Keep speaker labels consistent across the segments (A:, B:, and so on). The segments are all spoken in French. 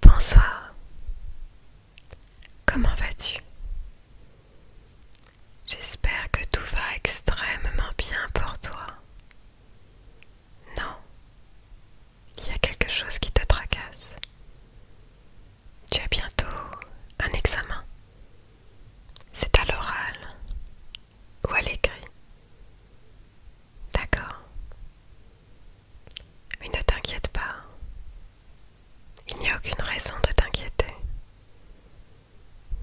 A: Bonsoir. Comment vas-tu J'espère que tout va extrêmement bien pour toi. Non. Il y a quelque chose qui te tracasse. Tu as bientôt un examen. C'est à l'oral ou à l'écrit. D'accord. Mais ne t'inquiète pas. Il n'y a aucune raison de t'inquiéter.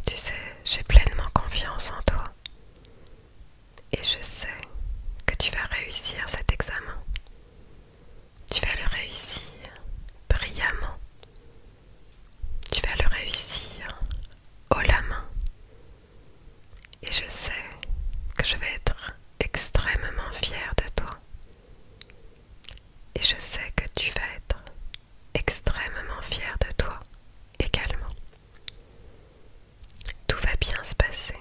A: Tu sais, j'ai pleinement confiance en toi. Et je sais que tu vas réussir cet examen. Tu vas le réussir brillamment. Tu vas le réussir haut la main et je sais que je vais être extrêmement fière de toi. Et je sais que tu vas être extrêmement fière de toi également. Tout va bien se passer.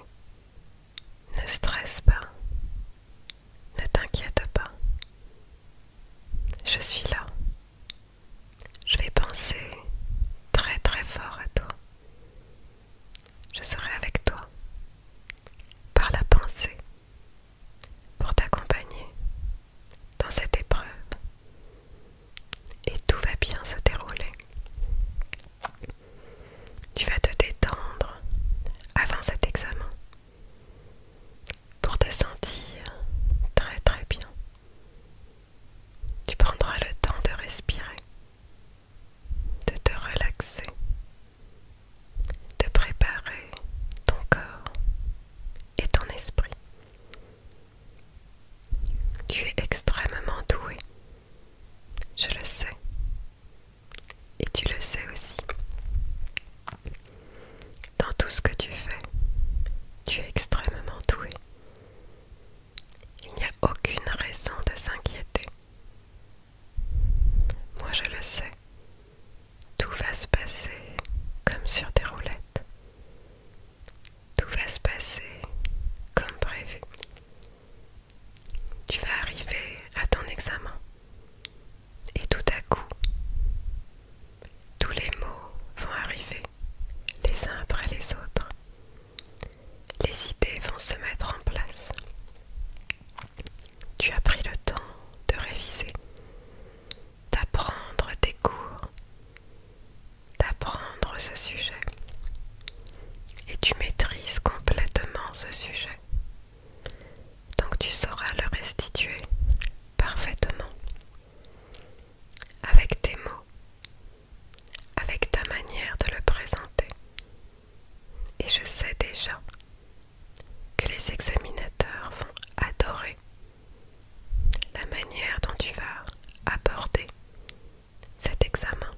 A: Ne stresse pas. Ne t'inquiète pas. Je suis là. Je vais penser très très fort à toi. Je serai avec toi par la pensée pour t'accompagner dans cette épreuve et tout va bien se dérouler. Tu vas te détendre avant cet examen pour te sentir très très bien. Tu prendras le temps de respirer de te relaxer, de préparer ton corps et ton esprit. Tu es extrêmement doué, je le sais, et tu le sais aussi. Dans tout ce que tu fais, tu es extrêmement doué. Il n'y a aucune raison de s'inquiéter. Moi je le sais. Tout va se passer comme sur des roulettes. Tout va se passer comme prévu. Tu vas arriver à ton examen. Et tout à coup, tous les mots vont arriver les uns après les autres. Les idées vont se mettre en place. Tu as pris le temps de réviser, d'apprendre tes cours, d'apprendre ce sujet. Et tu maîtrises complètement ce sujet. Donc tu sauras le restituer parfaitement avec tes mots avec ta manière de le présenter. Et je sais déjà que les examinateurs vont adorer la manière dont tu vas aborder cet examen,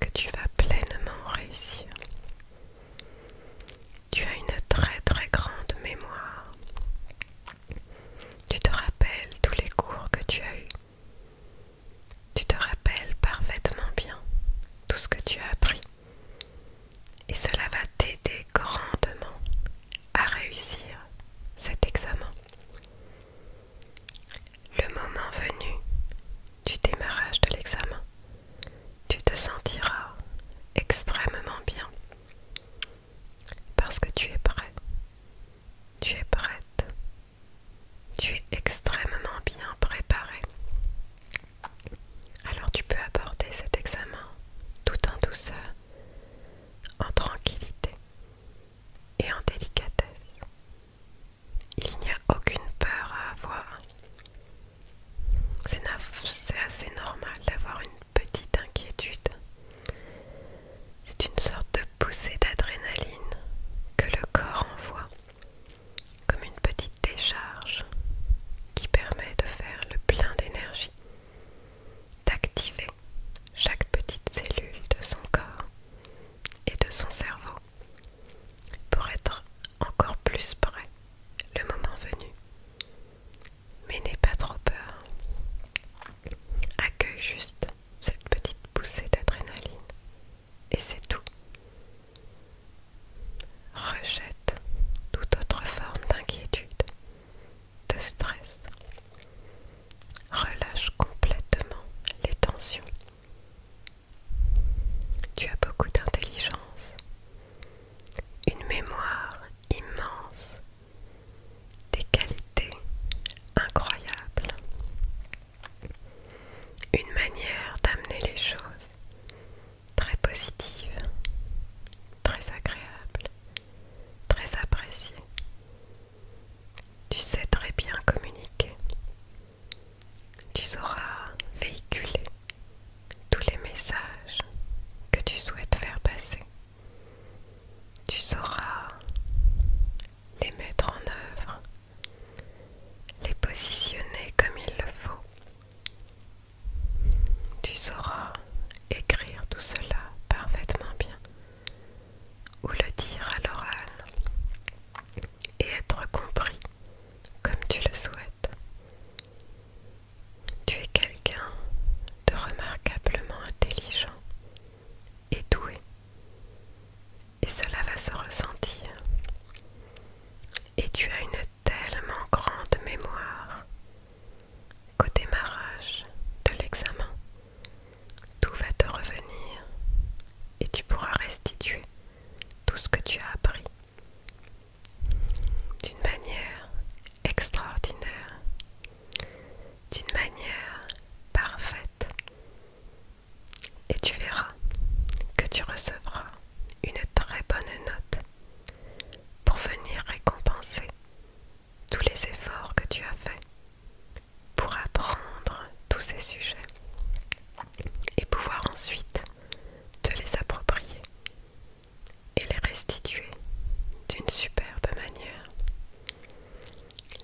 A: que tu vas pleinement réussir. Tu as une très très grande mémoire. Tu te rappelles tous les cours que tu as eus. Tu te rappelles parfaitement bien tout ce que tu as appris et cela va t'aider grandement à réussir cet examen. Le moment venu du démarrage de l'examen, tu te sentiras extrêmement bien parce que tu es prêt, tu es prête tu es extrêmement bien préparé. Alors tu peux aborder cet examen tout en douceur, en tranquillité et en délicatesse. Il n'y a aucune peur à avoir. C'est assez normal d'avoir une petite inquiétude. C'est une sorte de poussée d'adrénaline que le corps envoie, comme une petite décharge qui permet de faire le plein d'énergie, d'activer chaque petite cellule de son corps et de son cerveau pour être encore plus prêt le moment venu. Mais n'aie pas trop peur. Accueille juste cette petite poussée d'adrénaline et c'est tout. Rejette toute autre forme d'inquiétude, de stress. Relâche complètement les tensions. Tu as beaucoup d'intelligence, une mémoire immense, des qualités incroyables une manière d'amener les choses très positive, très agréable, très appréciée. Tu sais très bien communiquer. Tu sauras véhiculer tous les messages que tu souhaites faire passer. Tu sauras les mettre en œuvre les positionner comme il le faut. Tu sauras écrire tout cela parfaitement bien ou le dire à l'oral et être compris comme tu le souhaites. Tu es quelqu'un de remarquablement intelligent et doué. Et cela va se ressentir. Et tu as une tellement grande mémoire qu'au démarrage de l'examen, tout va te revenir et tu pourras restituer tout ce que tu as appris d'une manière extraordinaire, d'une manière parfaite et tu verras que tu recevras une très bonne note pour venir récompenser tous les efforts que tu as faits pour apprendre tous ces sujets et pouvoir ensuite te les approprier et les restituer d'une superbe manière.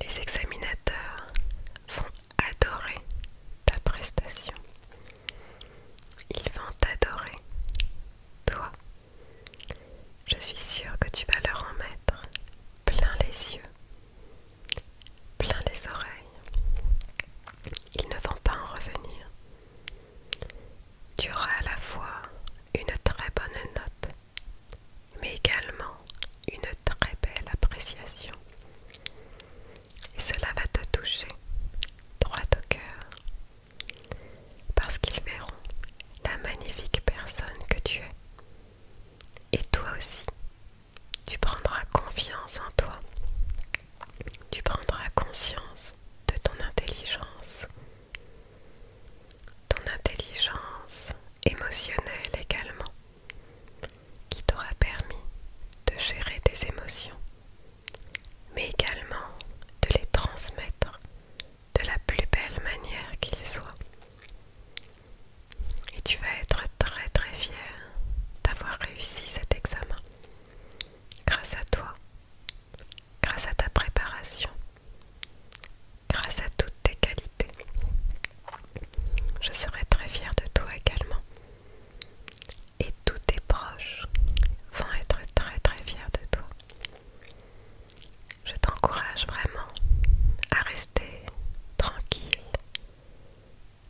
A: Les examinateurs vont adorer ta prestation. Ils vont t'adorer, toi. Je suis sûre que tu vas leur en mettre plein les yeux, plein les oreilles. Ils ne vont pas en revenir. Tu auras à la fois une très bonne note, mais également une très belle appréciation. Et cela va te toucher droit au cœur. Parce qu'ils verront la magnifique personne que tu es. Et toi aussi, tu prendras confiance en toi. Tu prendras conscience de ton intelligence. Ton intelligence émotionnelle également qui t'aura permis de gérer tes émotions, mais également de les transmettre de la plus belle manière qu'il soit. Et tu vas être très très fier d'avoir réussi cet examen. Grâce à toi, grâce à ta préparation, grâce à toutes tes qualités. Je serai très fier de toi également et tous tes proches vont être très très fiers de toi. Je t'encourage vraiment à rester tranquille,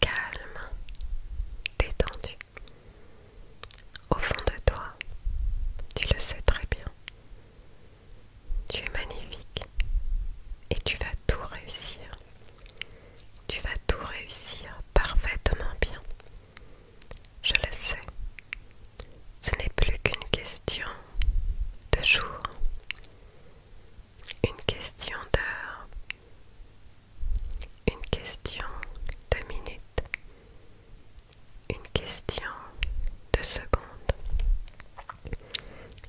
A: calme, détendu. Au fond de toi, tu le sais très bien. Tu es magnifique et tu vas tout réussir. Tu vas tout réussir parfaitement bien. Je le sais. Ce n'est plus qu'une question de jour, une question d'heure, une question de minutes, une question de secondes.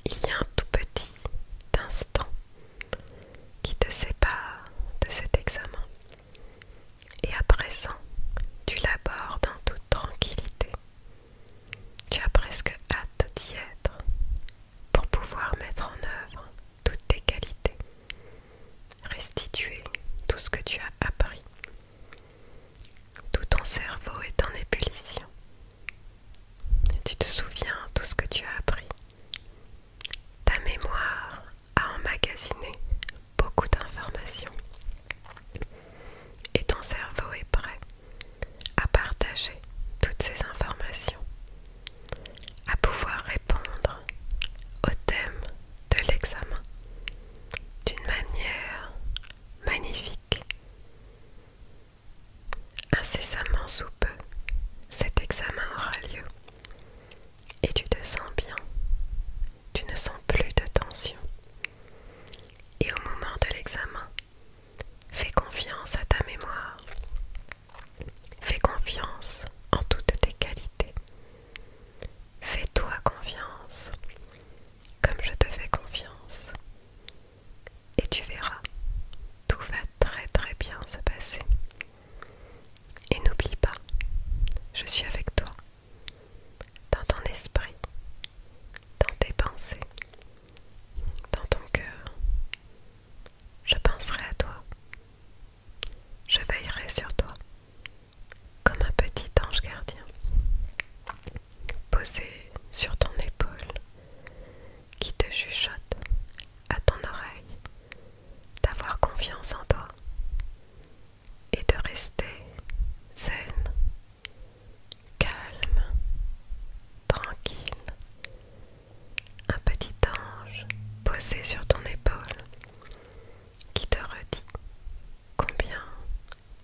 A: Il y a un tout petit instant qui te sépare de cet examen. Et à présent, tu l'abordes en toute tranquillité. Tu as presque hâte d'y être pour pouvoir mettre en œuvre toutes tes qualités, restituer tout ce que tu as appris. Tout ton cerveau est en ébullition. Tu te souviens tout ce que tu as appris, ta mémoire a emmagasiné beaucoup d'informations et ton cerveau est prêt à partager toutes ces informations, à pouvoir répondre au thème de l'examen d'une manière magnifique. Incessamment sous peu, cet examen aura lieu. Et tu te sens bien. Tu ne sens plus de tension. Et au moment de l'examen, fais confiance à ta mémoire. Fais confiance en toutes tes qualités. Fais-toi confiance, comme je te fais confiance. Et tu verras, tout va très très bien se passer. Et n'oublie pas, je suis avec toi, dans ton esprit, dans tes pensées, dans ton cœur. Je penserai à toi, je veillerai sur toi, comme un petit ange gardien, posé sur ton épaule, qui te chuchote à ton oreille d'avoir confiance en toi et de rester saine, calme, tranquille, un petit ange posé sur ton épaule qui te redit combien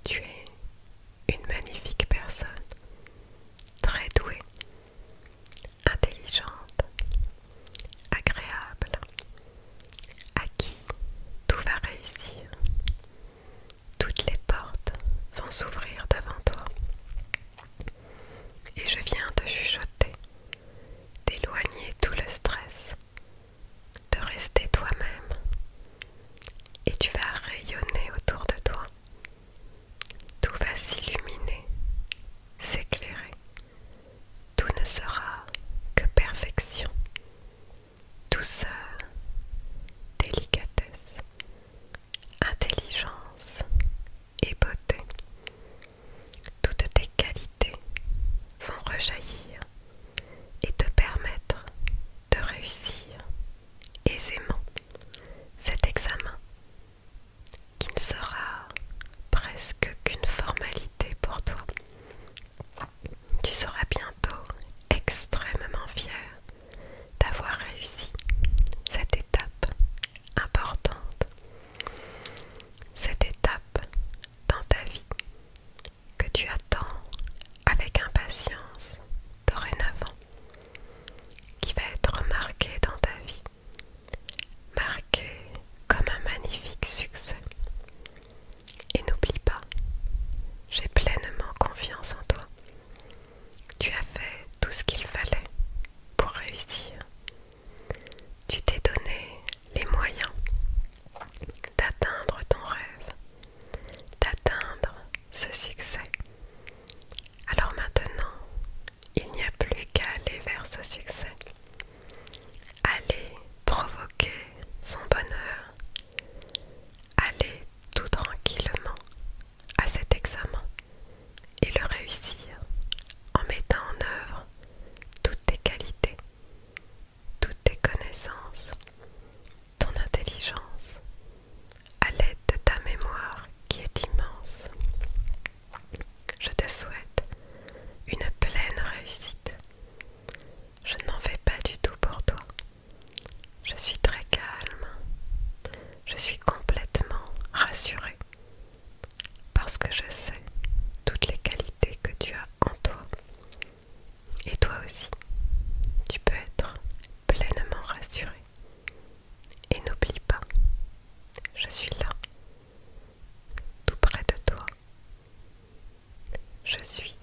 A: tu es une magnifique personne, très douée intelligente, agréable, à qui tout va réussir. Toutes les portes vont s'ouvrir devant toi. Et je viens de chuchoter, d'éloigner tout le stress, de rester toi-même. Et tu vas rayonner autour de toi tout va s'illuminer, s'éclairer. Tout ne sera que perfection, douceur, délicatesse, intelligence et beauté. Toutes tes qualités vont rejaillir et te permettre de réussir aisément cet examen qui ne sera presque qu'une formalité pour toi. Tu seras bientôt extrêmement fier d'avoir réussi cette étape importante, cette étape dans ta vie que tu attends avec impatience dorénavant, qui va être marquée dans ta vie marqué comme un magnifique succès. Et n'oublie pas, j'ai pleinement confiance en toi. Tu as fait tout ce qu'il fallait pour réussir. Tu t'es donné les moyens d'atteindre ton rêve, d'atteindre ce succès. Alors maintenant, il n'y a plus qu'à aller vers ce succès. Aller provoquer son bonheur. Aller tout tranquillement à cet examen et le réussir en mettant en œuvre toutes tes qualités, toutes tes connaissances, ton intelligence, à l'aide de ta mémoire qui est immense. Je te souhaite une pleine réussite. Je ne m'en fais pas du tout pour toi. Je suis très calme. Je suis complètement rassurée parce que je sais toutes les qualités que tu as en toi. Et toi aussi, tu peux être pleinement rassurée. Et n'oublie pas, je suis là tout près de toi. Je suis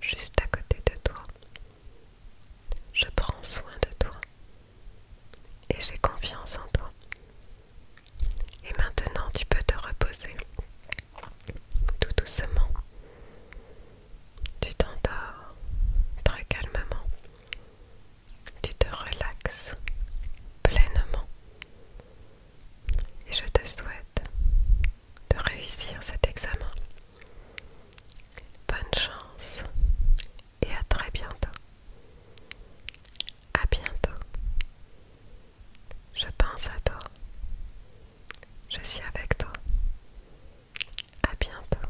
A: juste à côté de toi. Je prends soin de toi et j'ai confiance en toi. Et maintenant, tu peux te reposer tout doucement. Tu t'endors très calmement tu te relaxes pleinement et je te souhaite de réussir cet examen. Bonne chance et à très bientôt. À bientôt. Je pense à toi. Je suis avec toi. À bientôt.